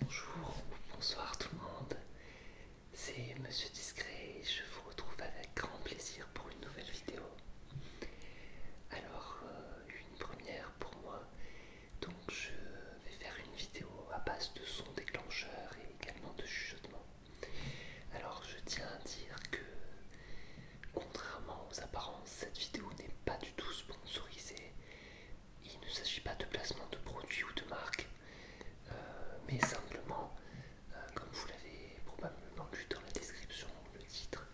Bonjour bonsoir tout le monde, c'est Monsieur Discret et je vous retrouve avec grand plaisir pour une nouvelle vidéo. Alors, euh, une première pour moi, donc je vais faire une vidéo à base de sons déclencheurs et également de chuchotements. Alors, je tiens à dire que, contrairement aux apparences, cette vidéo n'est pas du tout sponsorisée, il ne s'agit pas de placement de produits ou de marques, euh, mais simplement, euh, comme vous l'avez probablement vu dans la description ou le titre,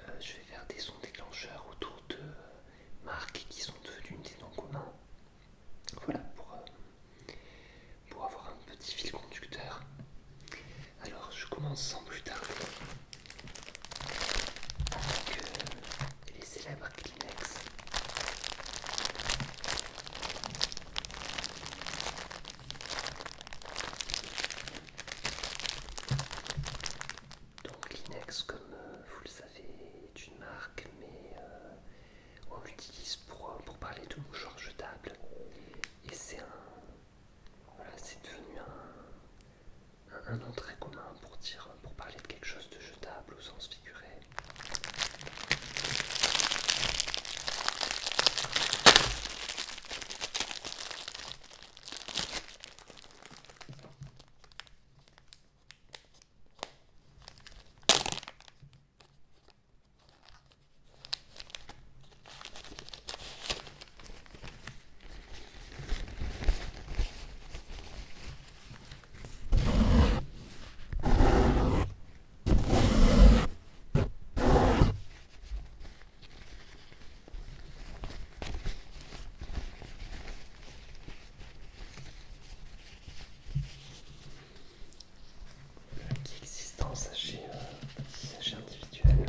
euh, je vais faire des sons déclencheurs autour de marques qui sont devenues des noms communs. Voilà, pour, pour avoir un petit fil conducteur. Alors, je commence sans plus tarder avec les célèbres Kleenex. Donc Kleenex, comme euh, vous le savez, est une marque, mais euh, on l'utilise pour, euh, pour parler de mouchoirs jetables. Et c'est un... Voilà, c'est devenu un, un, nom très commun pour dire, pour parler de quelque chose de jetable au sens figuré qui existe en euh, sachet, sachet individuel.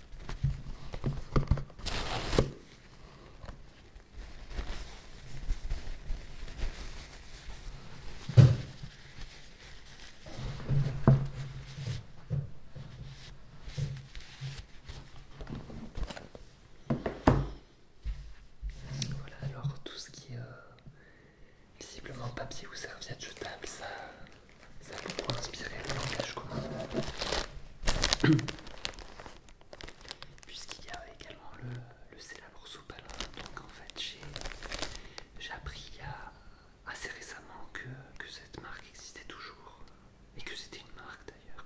Voilà alors tout ce qui est euh, visiblement papier ou serviette jetable, ça ça a beaucoup inspiré le langage commun. Puisqu'il y a également le, le célèbre soupalin. Donc en fait, j'ai appris il y a assez récemment que, que cette marque existait toujours. Et que c'était une marque d'ailleurs.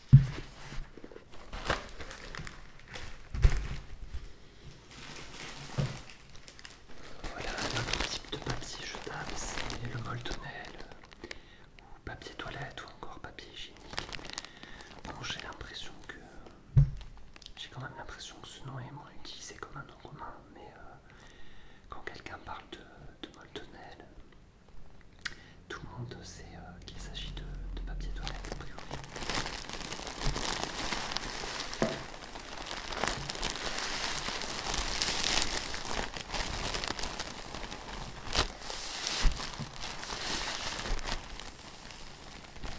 Voilà un autre type de papier jetable, c'est le moltonel, ou papier toilette ou encore papier hygiénique. Bon, j'ai l'impression que j'ai quand même l'impression que ce nom est moins utilisé comme un nom commun, mais euh, quand quelqu'un parle de, de tout le monde sait euh, qu'il s'agit de, papier toilette a priori.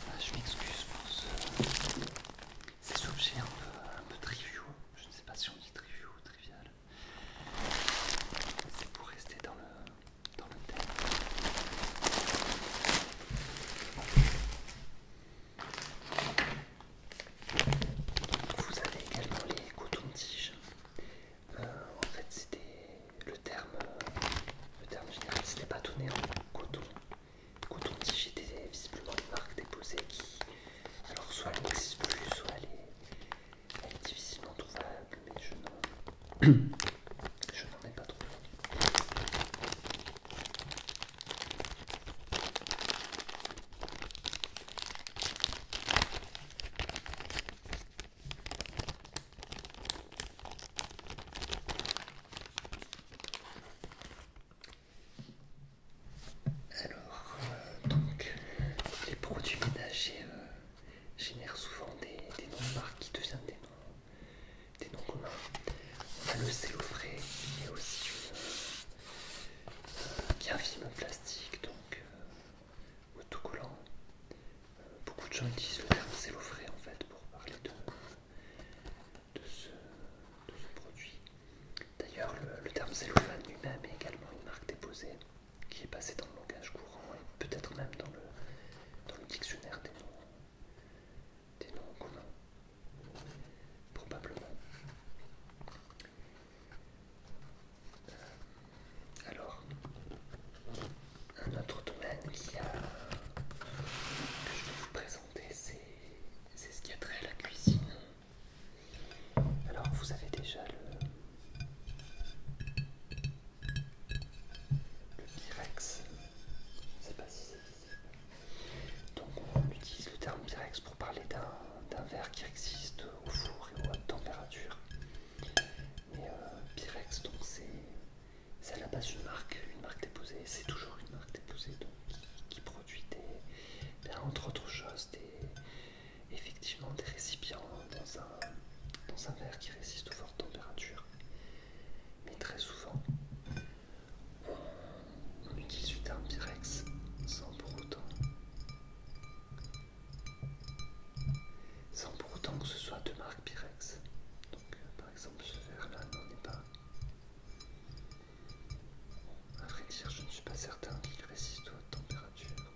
Ah, je m'excuse pour ces objets un un peu triviaux. Je ne sais pas si on dit triviaux ou trivial. C'est pour rester dans le, dans le thème. Vous avez également les cotons-tiges. Euh, en fait, c'était le terme, le terme général, c'était pas donné en coton. Coton-tige était visiblement une marque déposée qui, alors soit elle n'existe plus, soit elle est, elle est difficilement trouvable, mais je n'en ai pas trouvé. Alors, euh, donc, les produits ménagers euh, génèrent souvent des, noms de marques qui deviennent des noms, communs. On a le cellophane, aussi qui un film plastique, donc euh, autocollant. beaucoup de gens utilisent le terme en fait pour parler de, ce, produit. D'ailleurs, le, terme cellophane lui-même est également une marque déposée qui est passé dans le langage courant et peut-être même dans le, dans le dictionnaire des noms, des communs, probablement. Euh, alors, un autre domaine que je vais vous présenter, c'est ce qui a trait à la cuisine. Alors vous avez déjà le, Pirex, Pyrex, pas si c'est Donc on utilise le terme Pyrex pour parler d'un verre qui existe au four et à haute température. Mais euh, donc c'est à la base une marque, une marque déposée, c'est toujours une marque déposée donc, qui, produit des, ben, entre autres choses des effectivement des récipients dans un, verre qui résiste aux fortes températures. Mais très souvent, on utilise du terme Pyrex sans pour autant sans pour autant que ce soit de marque Pyrex. Donc euh, par exemple ce verre-là n'en est pas. À vrai je ne suis pas certain qu'il résiste aux températures.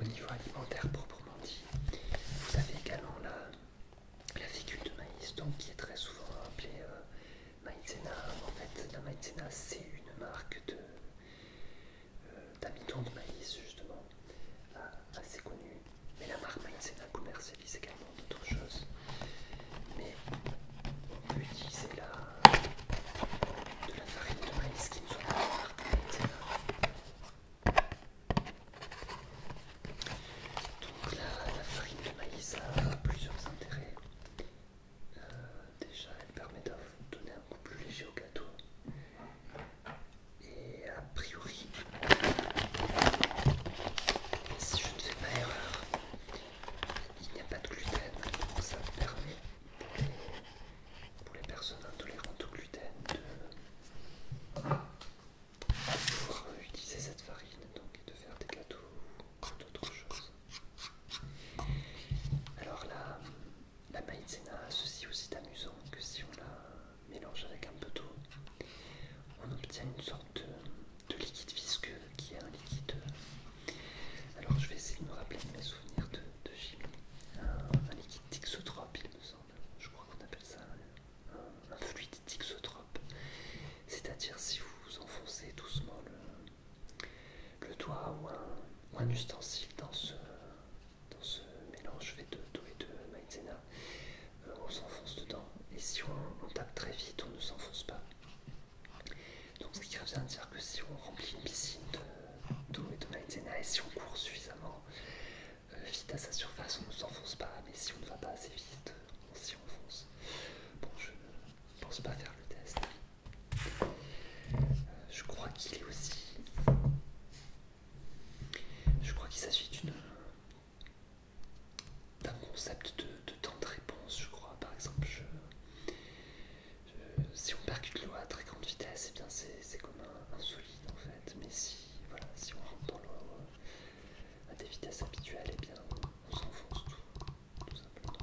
au niveau alimentaire proprement dit. Vous avez également la, la fécule de maïs, donc qui est très souvent appelée euh, maïzena. En fait, la maïzena, c'est une marque d'amidon de, euh, de maïs, justement, euh, assez connue. Mais la marque maïzena commercialise également d'autres choses. Mais on peut utiliser la, de la farine de maïs qui ne soit pas la marque maïzena. Donc la, la farine de maïs a plusieurs intérêts. Euh, déjà, elle permet de donner un goût plus léger au gâteau. Et a priori, si je ne fais pas erreur, il n'y a pas de gluten, donc ça permet pour les personnes intolérantes au gluten de pouvoir utiliser cette farine donc, et de faire des gâteaux ou d'autres choses. Alors là, la, maïzena ceci aussi d'amusant que si on la mélange avec un peu d'eau, on obtient une sorte de, liquide visqueux qui est un liquide. Euh, alors je vais essayer de me rappeler de mes souvenirs de, chimie. Dixotrope, il me semble. Je crois qu'on appelle ça un, fluide tixotrope. C'est-à-dire si vous enfoncez doucement le, doigt ou un, ustensile dans ce, dans ce mélange fait de d'eau et de maïzena, euh, on s'enfonce dedans. Et si on, tape très vite, on ne s'enfonce pas. Donc ce qui revient à dire que si on remplit une piscine de tout et si on court suffisamment euh, vite à sa surface, on ne s'enfonce pas, mais si on ne va pas assez vite, on s'y enfonce. Bon, je ne pense pas faire le test. Euh, je crois qu'il est aussi. Je crois qu'il s'agit d'une d'un concept de, de temps de réponse, je crois. Par exemple, je, euh, si on percute l'eau à très grande vitesse, eh bien c'est comme un, solide en fait. Mais si, si on rentre dans l'eau euh, à des vitesses habituelles, eh bien on s'enfonce tout, simplement.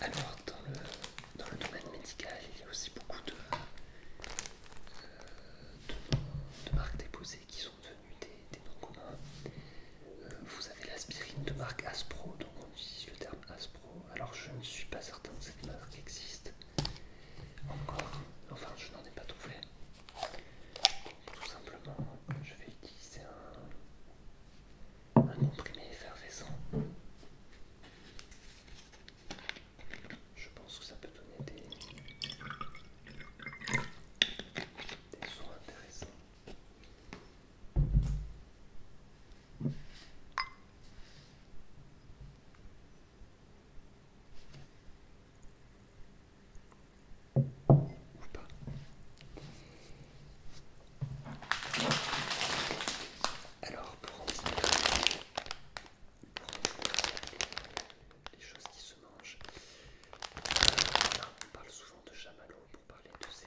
Alors, dans le, domaine médical, il y a aussi beaucoup de, euh, marques déposées qui sont devenues des, des noms communs. Vous avez l'aspirine de marque Aspro, donc on utilise le terme Aspro. Alors je ne suis pas certain que cette marque existe encore, enfin je n'en ai pas trouvé. Tout simplement, je vais utiliser un, comprimé effervescent. Je pense que ça peut donner des, des sons intéressants. Ou pas. Alors pour les choses qui se mangent, euh, on parle souvent de chamallow pour parler de ces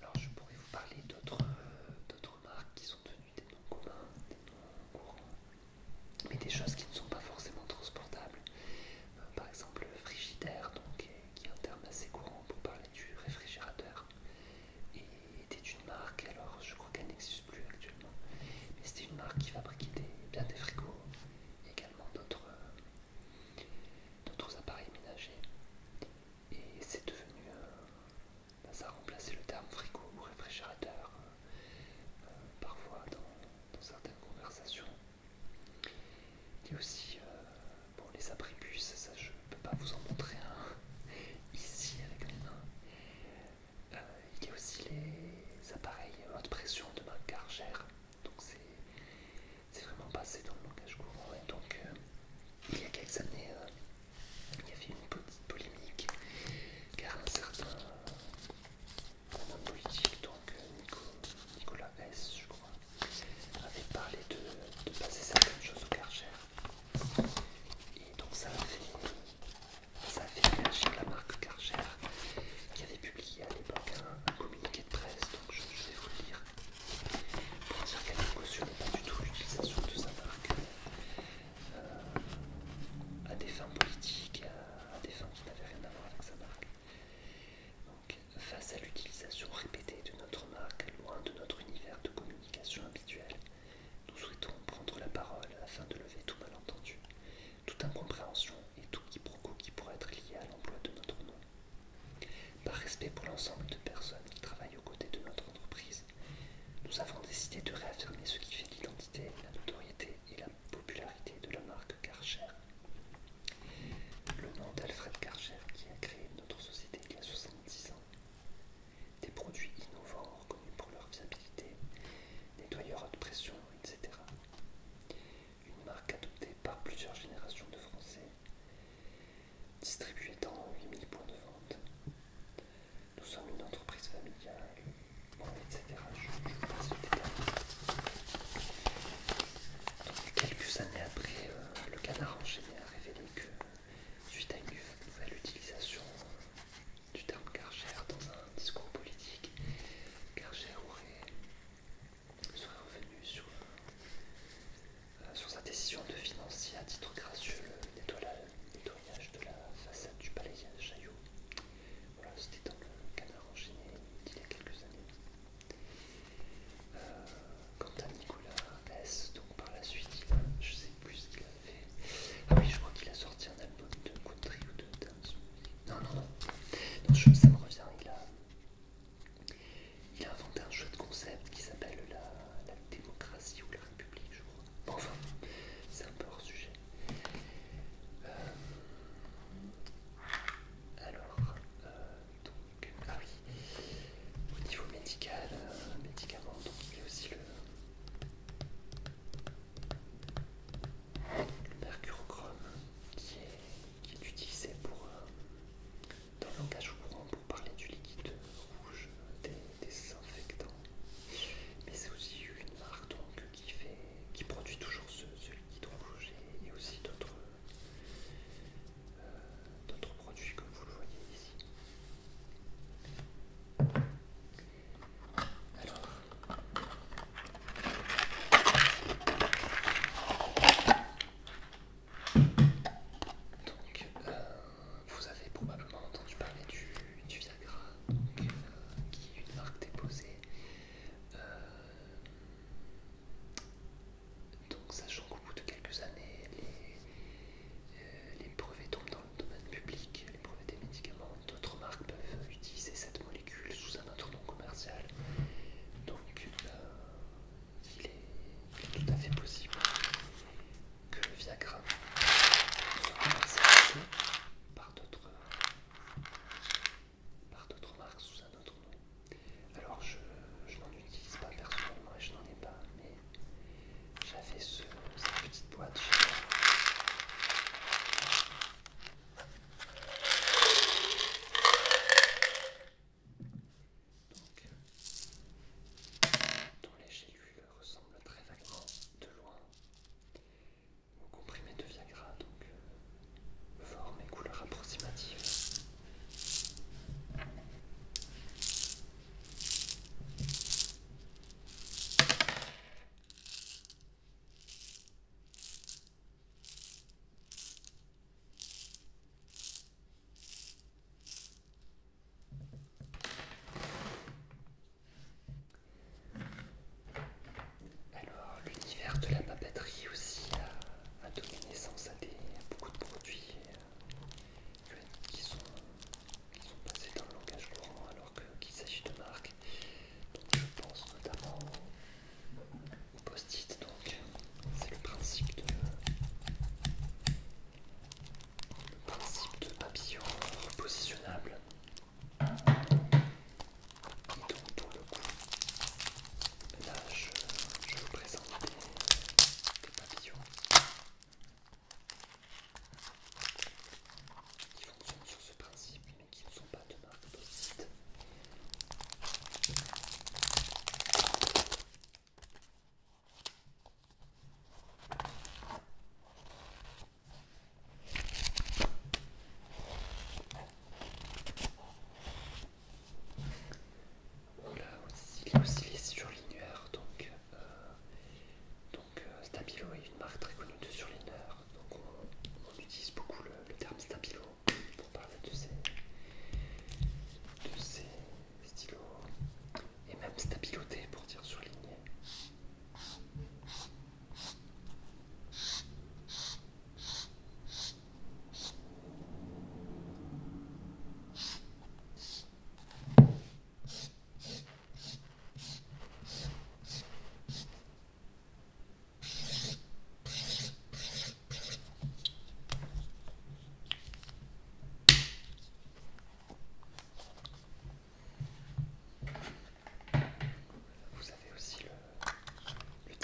Alors je pourrais vous parler d'autres euh, marques qui sont devenues des noms communs, des noms courants, mais des choses qui ne sont pas forcément transportables. Euh, par exemple frigidaire, donc, qui est un terme assez courant pour parler du réfrigérateur, et était une marque, alors je crois qu'elle n'existe plus actuellement. Mais c'était une marque qui fabriquait bien des frigos et également euh, d'autres appareils ménagers. Et c'est devenu. Euh, bah, ça a remplacé le terme frigo ou réfrigérateur euh, parfois dans, certaines conversations. Il y a aussi les abribus, ça je ne peux pas vous en montrer un ici avec mes mains. Euh, il y a aussi les appareils haute pression de ma cargère. donc c'est vraiment passé dans le langage courant. Et donc, euh, il y a quelques années, euh, il y avait une petite polémique car un certain homme politique, donc Nicolas S, je crois, avait parlé de, passer certaines choses au carrière Et donc ça a fait ça fait émerger la marque Karcher qui avait publié à l'époque un, communiqué de presse, donc je, vais vous le lire pour dire qu'elle ne cautionne pas du tout l'utilisation de sa marque euh, à des fins politiques, à, des fins qui n'avaient rien à voir avec sa marque. Donc, face à l'utilisation répétée de notre marque, loin de notre univers de communication habituel, nous souhaitons prendre la parole afin de lever tout malentendu, toute incompréhension et tout quiproquo qui pourrait être lié à l'emploi de notre nom. Par respect pour l'ensemble de personnes qui travaillent aux côtés de notre entreprise, nous avons décidé de réaffirmer ce qui fait l'identité, la notoriété et la popularité de la marque Karcher. Le nom d'Alfred Karcher qui a créé notre société il y a 70 ans des produits innovants reconnus pour leur viabilité, nettoyeurs haute pression, etc. Une marque adoptée par plusieurs générations de Français, distribuée dans 8000 points de vente. Nous sommes une entreprise familiale, etc. Je, passe détail. Quelques années après, euh, le canard enchaîné a révélé que, suite à une nouvelle utilisation du terme cargère dans un discours politique. Karcher serait revenu euh, sur, sa décision de financer à titre gracieux le nettoyage de la façade du palais Chaillot. Voilà, c'était dans le canard enchaîné d'il y a quelques années. Euh, quant à Nicolas S, donc par la suite, je sais plus a Ah oui, je crois qu'il a sorti un album de country ou de dance. Non, non, non. ça me revient. Il a, il a inventé un jeu de concept qui s'appelle la, démocratie ou la république, je crois. enfin, c'est un peu hors sujet. Euh, alors, euh, donc, ah oui, au niveau médical, euh, médicaments, donc il y a aussi le, Mercurochrome qui est, qui utilisé pour, euh, dans le langage courant pour parler du liquide rouge des, désinfectants. Mais c'est aussi une marque qui, produit toujours ce, liquide rouge et, aussi euh, d'autres produits comme vous le voyez ici. Alors. Euh, vous avez probablement entendu parler du, Viagra, euh, qui est une marque déposée. Euh, donc, sachant qu'au bout de quelques années, les, euh, les brevets tombent dans le domaine public, les brevets des médicaments, d'autres marques peuvent utiliser cette molécule sous un autre nom commercial. Donc euh, il, est, tout à fait possible que le Viagra soit commercialisé par d'autres marques sous un autre nom. Alors je, n'en utilise pas personnellement et je n'en ai pas, mais j'avais ce, cette petite boîte Donc, dont les gélules ressemblent très vaguement de loin au comprimé de Viagra, donc euh, forme et couleur approximative. Alors, l'univers de la papeterie aussi a, donné naissance à, des, beaucoup de produits qui sont, passés dans le langage courant alors qu'il s'agit de marques. je pense notamment au post-it, donc c'est le principe de le principe papillon repositionnable le coup. Là je, vous présente des papillons qui fonctionnent sur ce principe mais qui ne sont pas de marque de Là aussi, il y a aussi les surligneurs, donc euh, donc euh, Stabilo est une marque très connue de surligneurs, donc on, utilise beaucoup le, terme Stabilo pour parler de ces, stylos, et même stabiloter pour dire surligner. Vous avez aussi le, le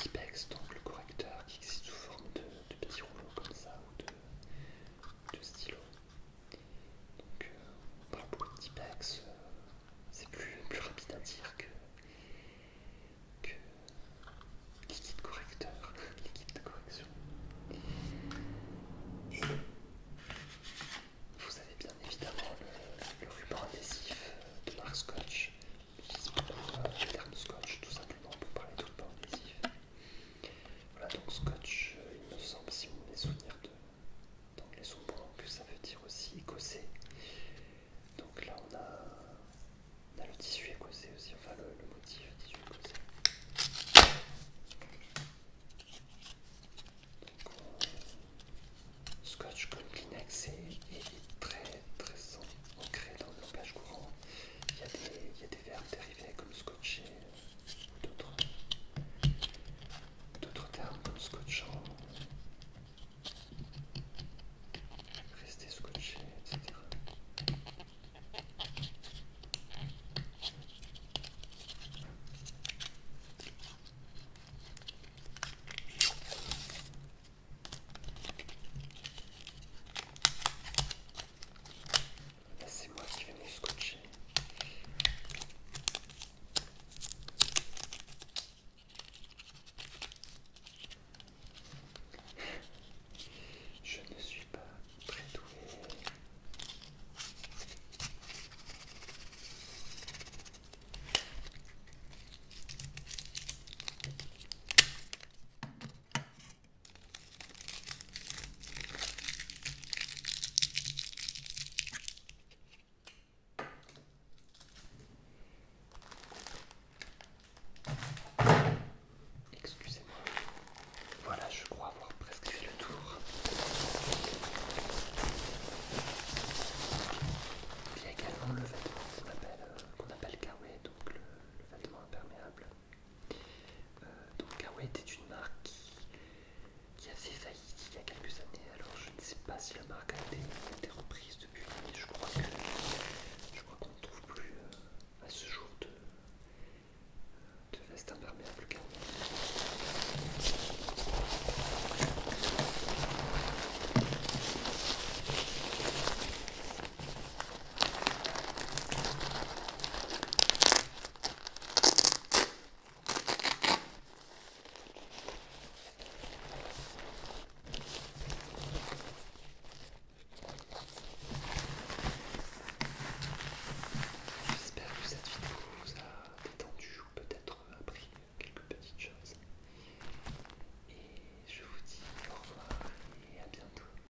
donc le correcteur qui existe sous forme de, petits rouleaux comme ça ou de, de donc, on euh, parle beaucoup de t euh, c'est plus, rapide à dire que, que liquide correcteur, liquide de correction. Et vous avez bien évidemment le, ruban adhésif de marque Scotch, le terme euh, Scotch tout simplement pour parler de ruban adhésif. Voilà donc scotch, euh, il me semble, si mes souvenirs d'anglais sont bons, que ça veut dire aussi écossais. Donc là on a, le tissu écossais aussi, enfin le, motif tissu écossais. Scotch comme Kleenex est, est, très très ancré dans le langage courant. il y a des verbes dérivés comme scotcher, d'autres termes scotchant, rester scotché, etc. C'est moi qui vais me scotcher. Je ne suis pas très doué. Excusez-moi. Voilà, je crois avoir presque fait le tour. Il y a également le vêtement qu'on appelle, euh, qu donc le vêtement imperméable. Euh, donc Kawaii ah était une marque qui, a fait faillite il y a quelques années, alors je ne sais pas si la marque a été, reprise depuis, mais je crois je crois qu'on ne trouve plus euh, à ce jour de, veste imperméable J'espère que cette vidéo vous a détendu ou peut-être appris quelques petites choses. Et je vous dis au revoir et à bientôt.